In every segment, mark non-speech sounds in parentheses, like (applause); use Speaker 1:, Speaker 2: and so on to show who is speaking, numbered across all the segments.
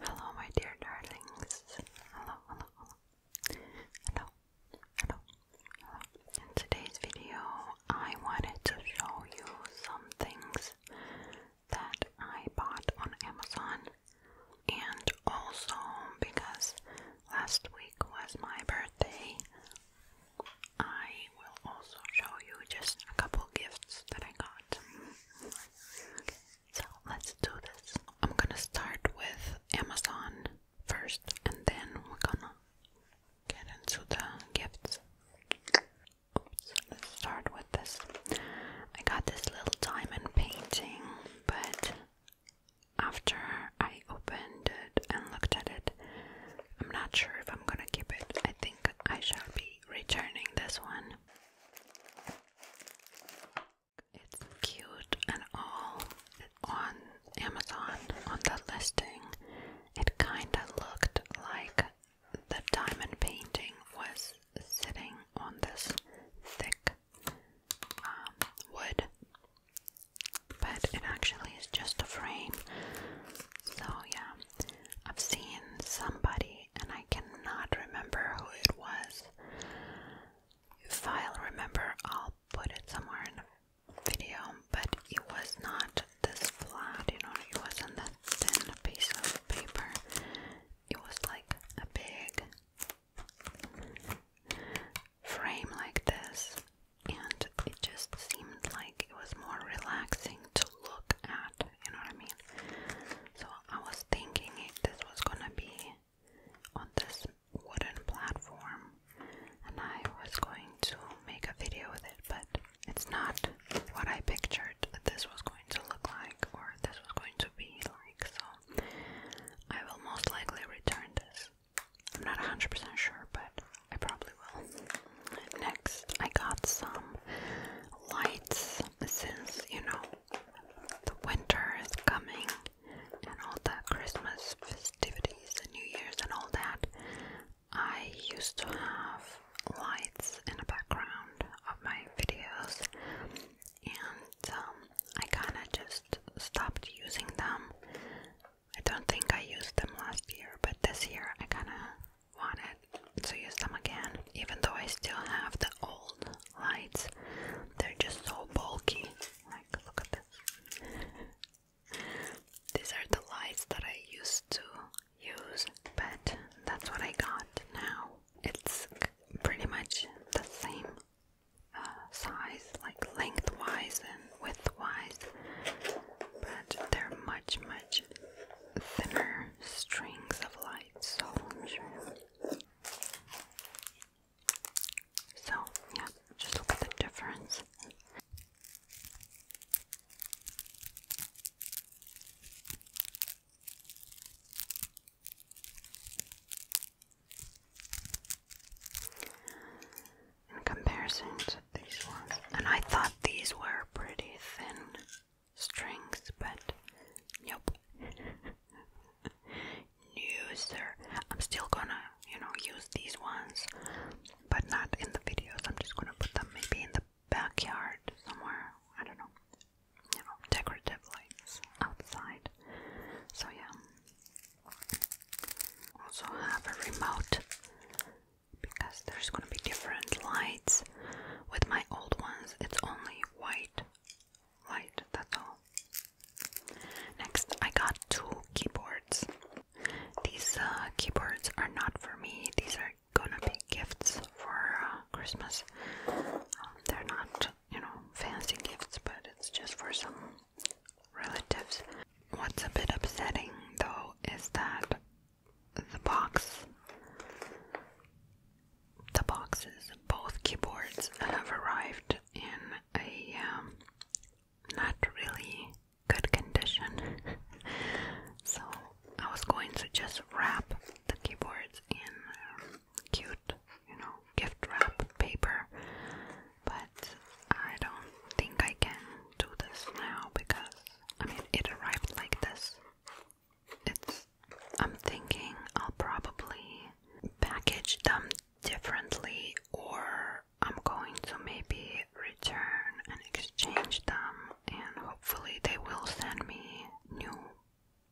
Speaker 1: Hello, my dear darlings. Hello, hello, hello. Hello, hello, hello. In today's video, I wanted to show you some things that I bought on Amazon, and also because last week was my birthday, I will also show you just a couple gifts that I got. Okay. So let's do this. I'm gonna start with Amazon first and then we're gonna get into the gifts. let's start with this. I got this little diamond painting, but after I opened it and looked at it, I'm not sure if I'm gonna keep it. I think I shall be returning this one. It's cute and all on Amazon on the listing. It kind of looked like the diamond painting was sitting on this thick um, wood, but it actually is just a frame. So, yeah, I've seen somebody, and I cannot remember who it was. If I'll remember, I'll put it somewhere in the video, but it was not this flat, you know, it wasn't that thin piece of paper. It was like a big frame like this, and it just seemed like it was more relaxing to look at you know what I mean? So I was thinking if this was gonna be on this wooden platform and I was going to make a video with it, but it's not what I pictured this was going to look like or this was going to be like, so I will most likely return this. I'm not 100% sure, but I probably will. Next, I got some lights since you know the winter is coming and all the Christmas festivities and New Year's and all that. I used to have lights in the background of my videos, and um, I kind of just stopped using them. I don't think I used them last year, but this year I kind of wanted to use them again, even though I still have the old lights. They're just so bulky. Like, look at this. (laughs) These are the lights that I used to use, but that's what I got now. It's pretty much the same uh, size, like lengthwise and widthwise, but they're much, much thinner strings of light So, yeah, just look at the difference. In comparison to these ones, and I thought these were pretty thin strings, but yep. (laughs) no, I'm still gonna, you know, use these ones, but not in the videos. I'm just gonna put them maybe in the backyard somewhere. I don't know. You know, decorative lights outside. So yeah. Also have a remote because there's gonna be different lights. With my old ones, it's only white light, that's all. Next, I got two keyboards. These uh, keyboards are not for me, these are gonna be gifts for uh, Christmas. Um, they're not, you know, fancy gifts, but it's just for some relatives. What's a bit upsetting though is that the box. The boxes, both keyboards have arrived in a um, not really good condition. (laughs) so I was going to just wrap the keyboards in um, cute, you know, gift wrap paper, but I don't think I can do this now because I mean, it arrived like this. It's. I'm thinking I'll probably package them differently, or I'm going to maybe return and exchange them, and hopefully they will send me new,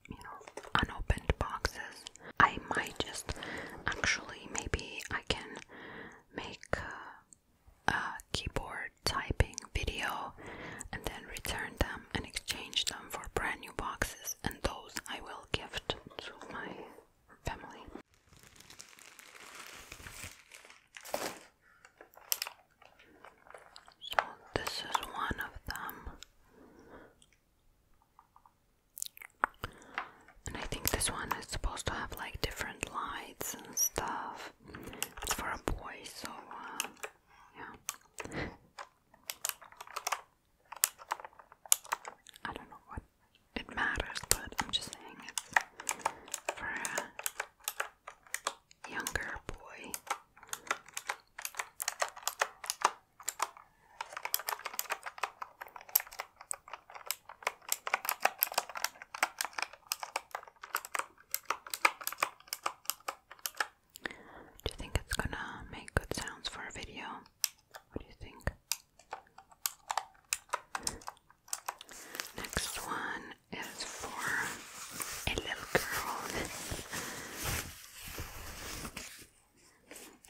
Speaker 1: you know, unopened boxes. I might just actually maybe I can make. Uh, keyboard typing video and then return them and exchange them for brand new boxes and those I will gift to my family. So this is one of them. And I think this one is supposed to have like different lights and stuff stuff. It's for a boy, so uh, yeah. I don't know what it matters, but I'm just saying it's for a younger boy. Do you think it's gonna make good sounds for a video? What do you think? Next one is for a little girl,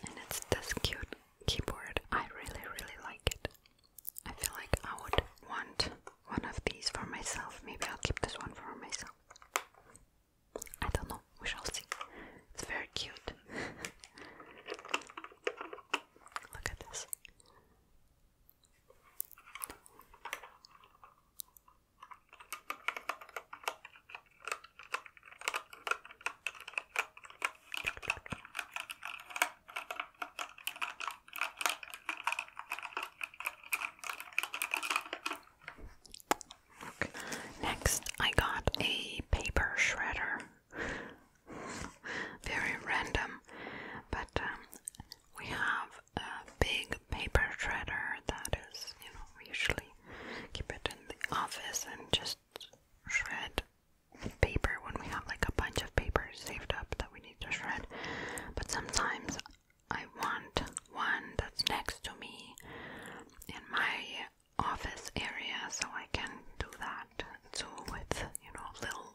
Speaker 1: and it's this cute keyboard. I really, really like it. I feel like I would want one of these for myself. Maybe I'll keep this one for myself. I don't know. We shall see. It's very cute. (laughs) Look at this. Okay. Next, I got a paper shredder. (laughs) Very random, but um, we have a big paper shredder that is, you know, usually keep it in the office and just shred paper when we have like a bunch of papers saved up that we need to shred. But sometimes I want one that's next to me in my office area so I can do that So with, you know, little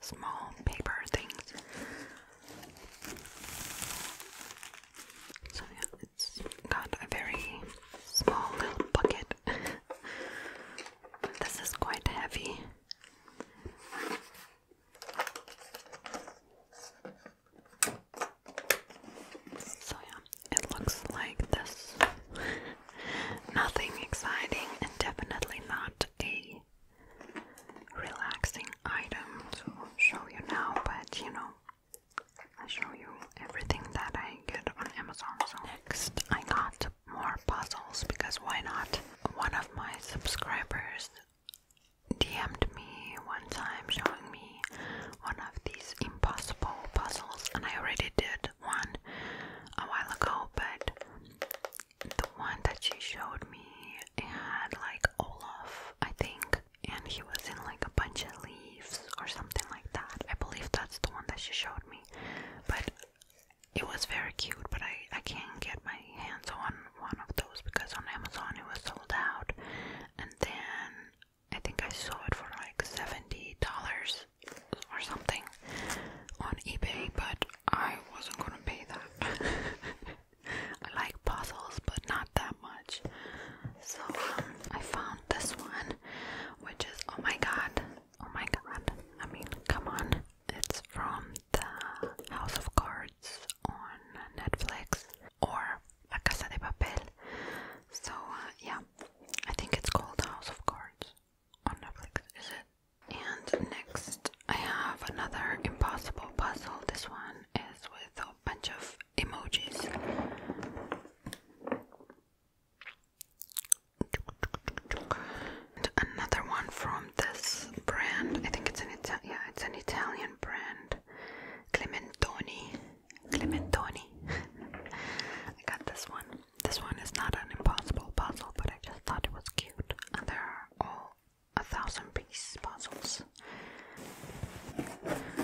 Speaker 1: small paper things. So yeah, it's got a very small little bucket this is quite heavy. So, yeah, it looks like this. (laughs) Nothing exciting, and definitely not a relaxing item to show you now, but you know, I show you everything that I get on Amazon. next, I got more puzzles because why not? One of my subscribers DM'd me one time showing me one of these impossible puzzles, and I already did one a while ago, but the one that she showed me had like Olaf, I think, and he was in like a bunch of leaves or something like that. I believe that's the one that she showed me. But it was very cute, but I, I can't get my hands on one of those because on Amazon it was sold out. And then I think I saw it for like $70 or something on eBay, but I wasn't gonna pay that. (laughs) I like puzzles, but not that much. So um, I found this one, which is oh my god, Oh my god. I mean, come on. It's from the House of Cards on Netflix or La Casa de Papel. So, uh, yeah. I think it's called House of Cards on Netflix, is it? And next, I have another impossible puzzle. This one is with a bunch of emojis. And another one from this brand. I think it's an Ita yeah, it's an Italian brand. Clementoni. Clementoni. (laughs) I got this one. This one is not an impossible puzzle, but I just thought it was cute. And there are all a thousand piece puzzles.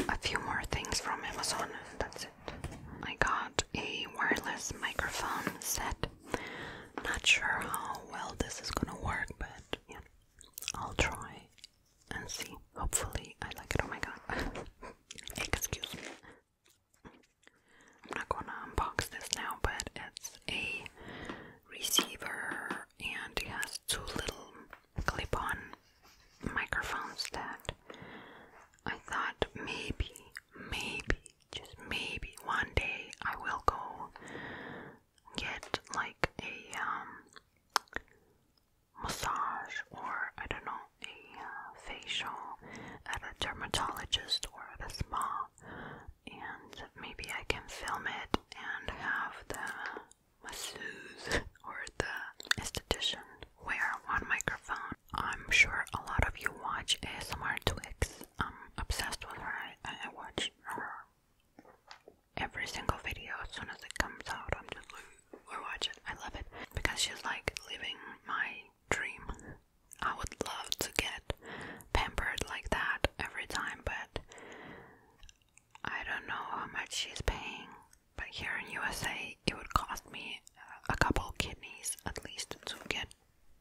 Speaker 1: A few more things from Amazon. That's it. I got a wireless microphone set. Not sure how well this is gonna work, but yeah, I'll try and see. Hopefully, I like it. Oh my god. (laughs) Excuse me. I'm not gonna unbox this now, but it's a receiver and it has two little clip on microphones that I thought maybe, maybe, just maybe one day I will go get like a um, massage or I don't know, a uh, facial at a dermatologist or at a spa, and maybe I can film it and have the masseuse (laughs) or the esthetician wear one microphone. I'm sure a lot of you watch ASMR Twix. I'm obsessed with her. I, watch her every single video as soon as it comes out. I'm just like, I watch it. I love it because she's like living my dream. I would love to get pampered like that every time, but I don't know how much she's paying but here in USA, it would cost me a couple kidneys at least to get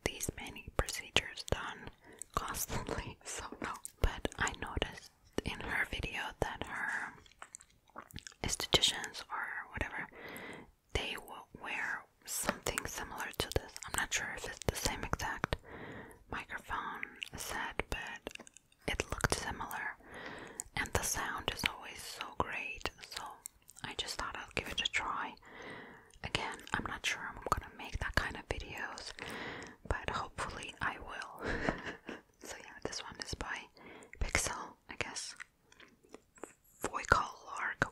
Speaker 1: these many procedures done constantly. (laughs) So no. But I noticed in her video that her estheticians or whatever they will wear something similar to this. I'm not sure if it's the same exact microphone set, but it looked similar, and the sound is always so great. So I just thought i would give it a try. Again, I'm not sure I'm gonna make that kind of videos, but hopefully I will. (laughs) so yeah, this one is by Pixel, I guess. Voical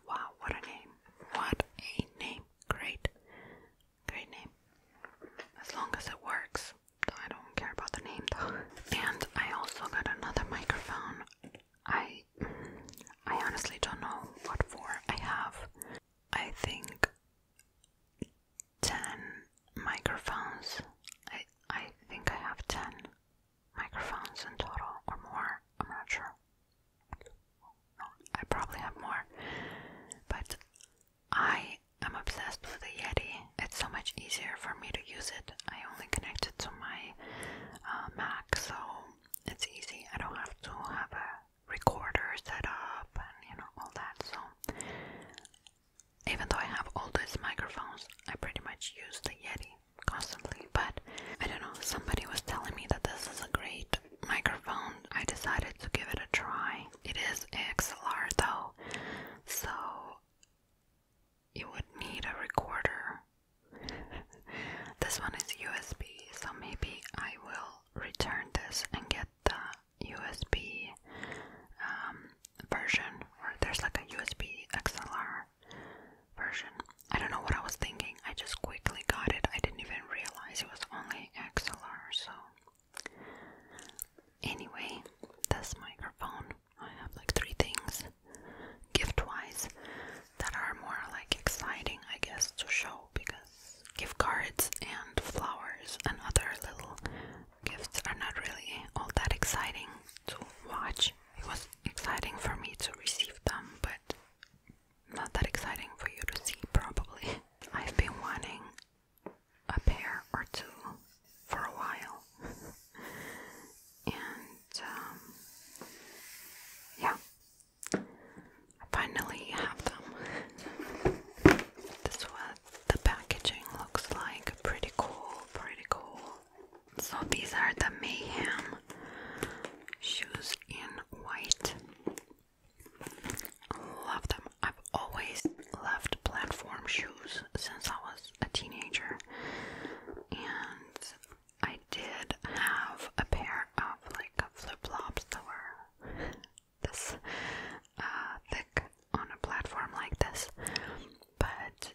Speaker 1: Wow, what a name! What a name! Great, great name. As long as it works. I don't care about the name though. And I also got another microphone. I I honestly don't know what for. I have I think 10 microphones. I I think I have 10 microphones in total or more. I'm not sure. I probably have more. But I I'm obsessed with the Yeti. It's so much easier for me to use it. I only connect it to my uh, Mac, so it's easy. I don't have to have a recorder set up and you know all that. So even though I have all these microphones, I pretty much use the Yeti constantly. But I don't know. Somebody was telling me that this is a great microphone. I decided to give it a try. It is XLR though, so you would need a recorder. (laughs) this one is USB, so maybe I will return this and get the USB um, version, or there's like a USB XLR version. I don't know what I was thinking, I just quickly got it. I didn't even realize it was only XLR, so Anyway, this microphone, I have like three things gift wise that are more like exciting, I guess, to show because gift cards and flowers and other little gifts are not really all that exciting to watch. It was exciting for me to receive them, but not that exciting for you to see, probably. (laughs) I've been wanting a pair or two for a while. and um, yeah, I finally have them. this what the packaging looks like. Pretty cool, pretty cool. So these are the Mayhem shoes in white. Love them. I've always loved platform shoes since I was a teenager, and I did have a pair of like flip flops that were this uh, thick on a platform like this, but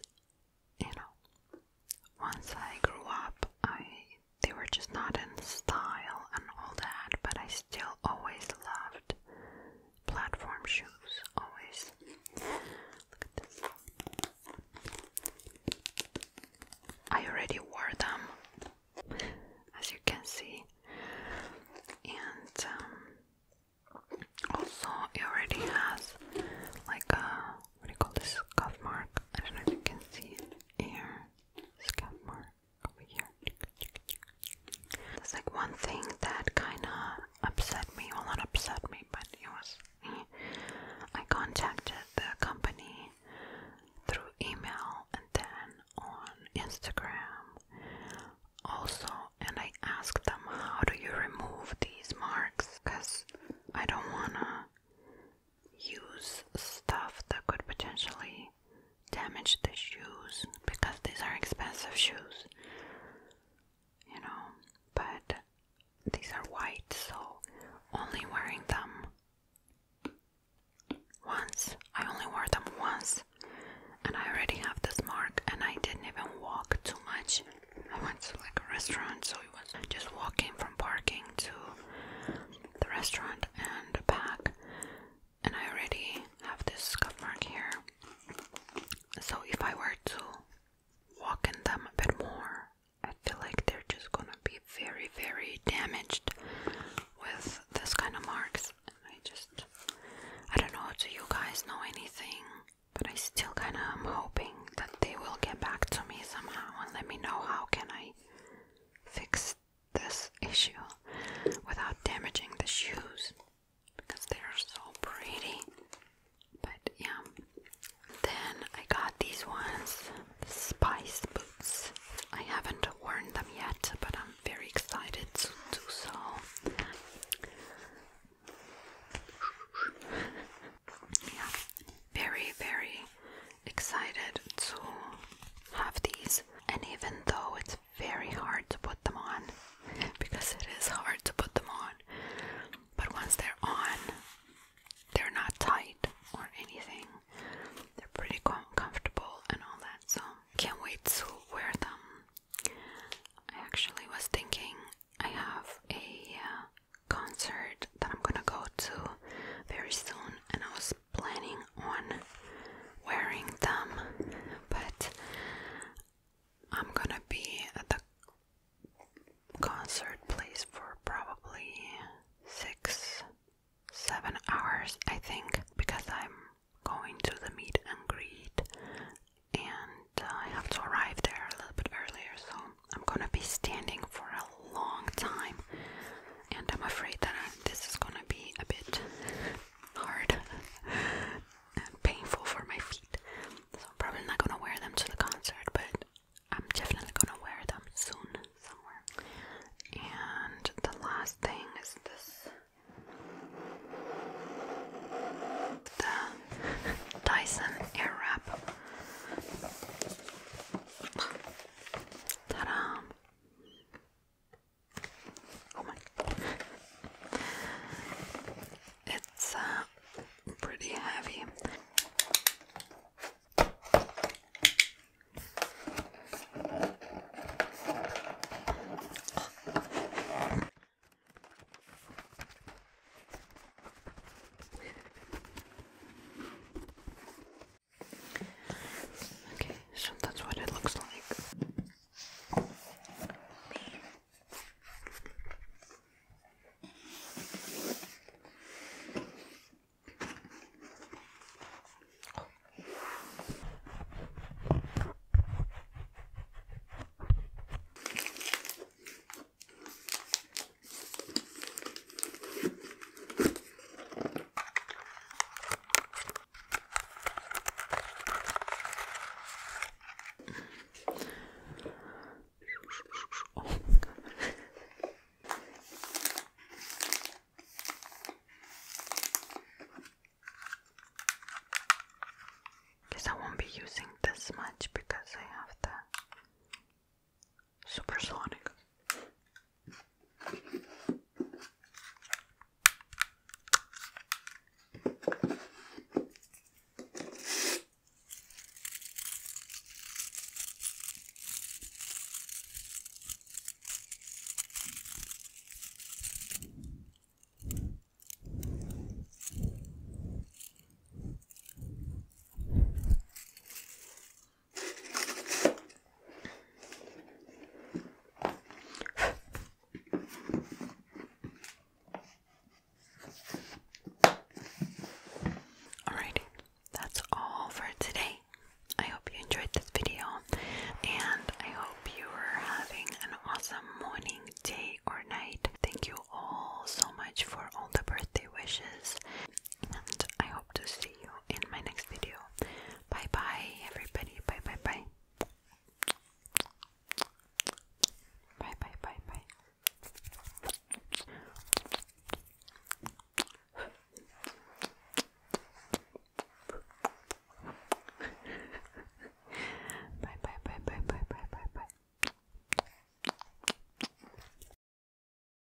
Speaker 1: you know, once I grew up, I they were just not in style and all that, but I still always loved platform shoes always. I already wore them, as you can see, and um, also it already has like a what do you call this scuff mark? I don't know if you can see it here. Scuff mark here, like one thing that kind of upset me. Well, not upset me, but it was. I contacted the company through email and then on Instagram also, and I asked them, How do you remove these marks? Because I don't want to use stuff that could potentially I the shoes because these are expensive shoes, you know, but these are white, so only wearing them once. I only wore them once, and I already have this mark, and I didn't even walk too much. I went to like a restaurant, so it was just walking from parking to the restaurant and back, and I already have this scuff mark here. So if I were to walk in them a bit more, I feel like they're just gonna be very, very damaged with this kind of marks. And I just, I don't know, do you guys know anything? But I still kind of am hoping that they will get back to me somehow and let me know how can I fix this issue without damaging the shoes because they're so pretty. But yeah, then I got these ones, Spice Boots. I haven't worn them yet, but I'm very excited to so. yeah, very, very excited to have these. And even though it's very hard to put them on because it is hard to put them on. But once they're on, they're not tight or anything. They're pretty comfortable and all that. So can't wait to wear them. I actually was thinking I have a uh, concert that I'm gonna go to very soon, and I was planning on wearing them, but I'm gonna be at the concert place for probably six, seven hours, I think, because I'm going to the meet and greet and uh, I have to arrive there a little bit earlier, so I'm gonna be standing for a long time and I'm afraid that this is gonna be a bit hard and painful for my feet. So I'm probably not gonna wear them to the concert, but I'm definitely gonna wear them soon somewhere. And the last thing is this the Dyson Airwrap. Ta-da! Oh it's uh, pretty heavy. Okay, so that's what it looks like. Oh my god. I won't be using this much because I have the Supersonic. Alrighty, that's all for today. I hope you enjoyed this video and I hope you are having an awesome morning, day, or night. Thank you all so much for all the birthday wishes and I hope to see you in my next video. Bye bye, everybody. Bye bye bye. Bye bye bye bye. bye bye bye bye bye bye bye bye.